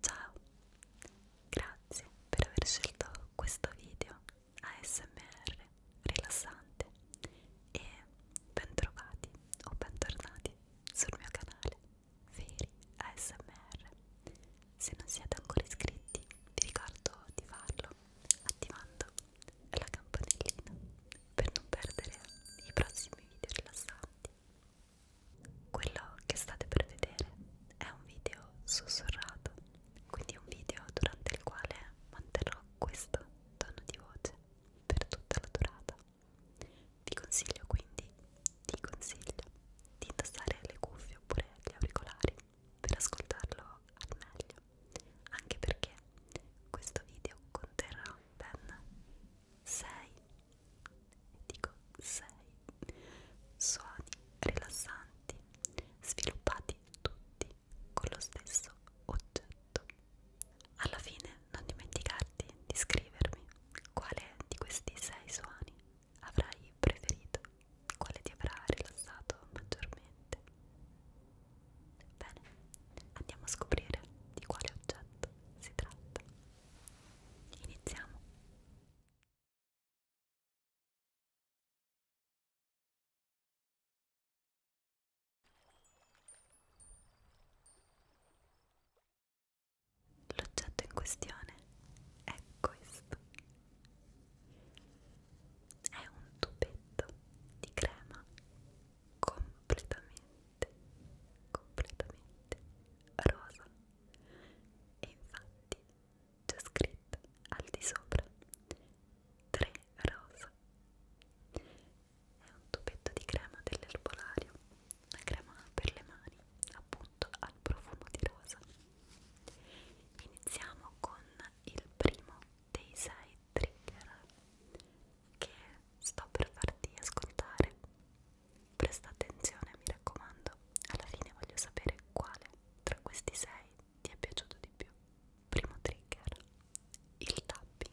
Ciao, grazie per aver scelto questo video ASMR rilassante e bentrovati o bentornati sul mio canale Veri ASMR. Se non siete ancora iscritti vi ricordo di farlo attivando la campanellina per non perdere i prossimi video rilassanti. Quello che state per vedere è un video sussurrato, quindi un video durante il quale manterrò questo tono di voce per tutta la durata. Vi consiglio quindi, ti consiglio di indossare le cuffie oppure gli auricolari per ascoltarlo al meglio, anche perché questo video conterrà ben 6, dico 6, suoni rilassanti sviluppati tutti con lo stesso oggetto. Alla fine non dimenticarti di scrivermi quale di questi 6 suoni avrai preferito quale ti avrà rilassato maggiormente. Bene, andiamo a scoprire di quale oggetto si tratta. Iniziamo. L'oggetto in questione è questo è un tubetto di crema completamente completamente rosa e infatti c'è scritto al di sopra 3 rosa è un tubetto di crema dell'erbolario una crema per le mani appunto prodotto al profumo di rosa. Iniziamo con il primo dei sei trigger che sto per farti ascoltare. Presta attenzione, mi raccomando, alla fine voglio sapere quale tra questi sei ti è piaciuto di più. Primo trigger, il tapping.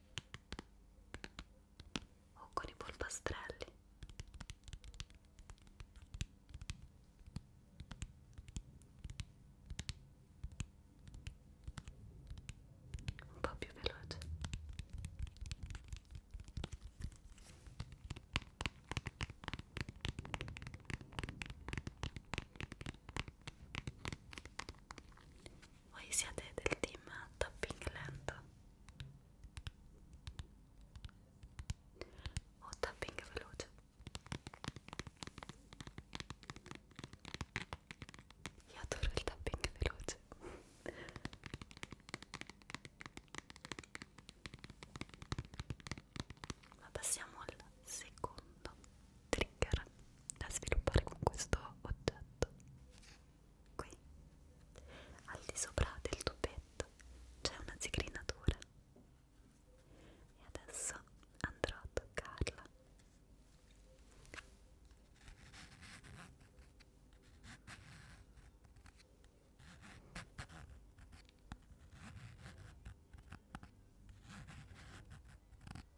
o con i polpastrelli un po' più veloce voi siete del team tapping lento o tapping veloce io adoro il tapping veloce ma passiamo al secondo trigger da sviluppare con questo oggetto qui al di sopra del tubetto c'è una zigrinatura e adesso andrò a toccarla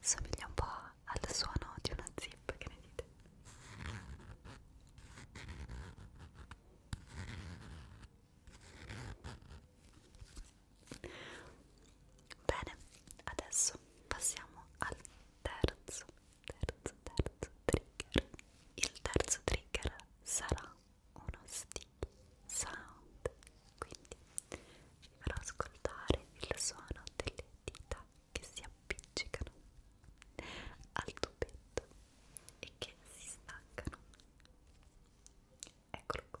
somiglia un po' al suono di una zip, che ne dite? Bene, adesso passiamo al terzo, terzo, terzo trigger. Il terzo trigger sarà uno stimolo sound quindi vi farò ascoltare il suono delle dita che si appiccicano al tubetto e che si staccano eccolo qua Ecco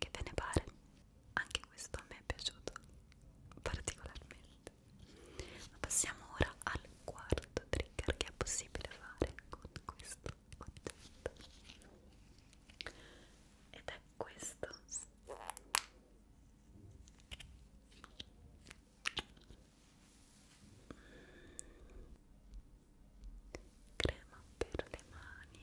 Che ve ne pare? Anche questo a me è piaciuto particolarmente niente ma passiamo ora al quarto trigger che è possibile fare con questo oggetto ed è questo crema per le mani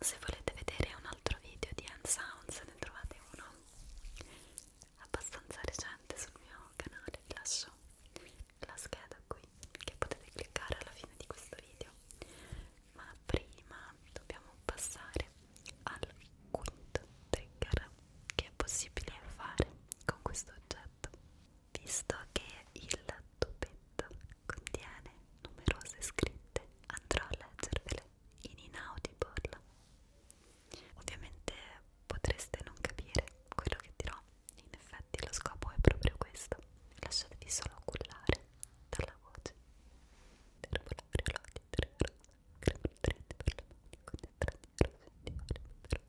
Se volete vedere un altro video di Hand Sounds, ne trovate uno abbastanza recente sul mio canale, vi lascio la scheda qui che potete cliccare alla fine di questo video. Ma prima dobbiamo passare al quinto trigger che è possibile fare con questo oggetto visto che il tubetto contiene numerose scritte andrò a leggervele in inaudible ovviamente potreste non capire quello che dirò in effetti lo scopo è proprio questo lasciatevi solo cullare dalla voce per volare l'odio tre rose crema trete per la manica di tre rose di ore per la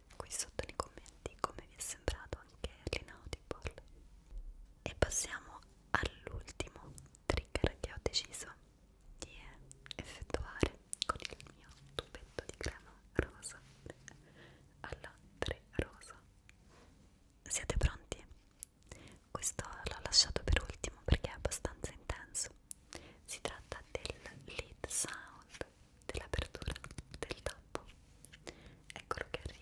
qui sotto nei commenti come vi è sembrato anche l'Inaudible e passiamo all'ultimo trigger che ho deciso di effettuare con il mio tubetto di crema rosa alla 3 rosa siete pronti? questo l'ho lasciato per ultimo perché è abbastanza intenso si tratta del lead sound dell'apertura del tappo eccolo che arriva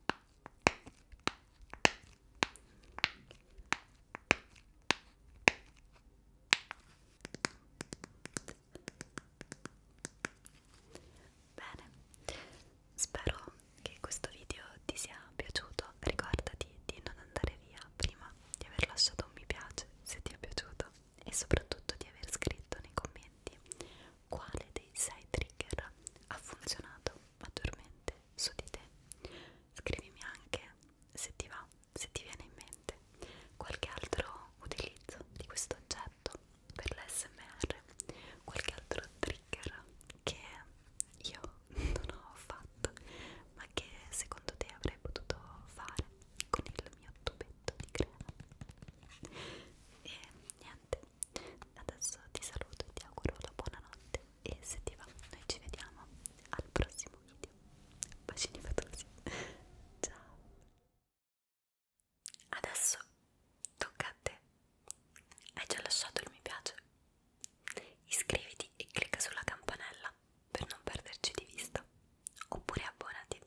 Bene, spero che questo video ti sia piaciuto. Ricordati di non andare via prima di aver lasciato un mi piace se ti è piaciuto e soprattutto di aver scritto nei commenti quale dei sei trigger ha funzionato maggiormente su di te. Scrivimi anche se ti va, se ti viene in mente qualche altro utilizzo di questo oggetto per l'SMR, qualche altro trigger che io non ho fatto, ma che secondo te avrei potuto fare con il mio tubetto di crema. E niente niente adesso ti saluto e ti auguro la buonanotte e se ti va noi ci vediamo al prossimo video bacini fatosi ciao adesso tocca a te hai già lasciato il mi piace iscriviti e clicca sulla campanella per non perderci di vista oppure abbonati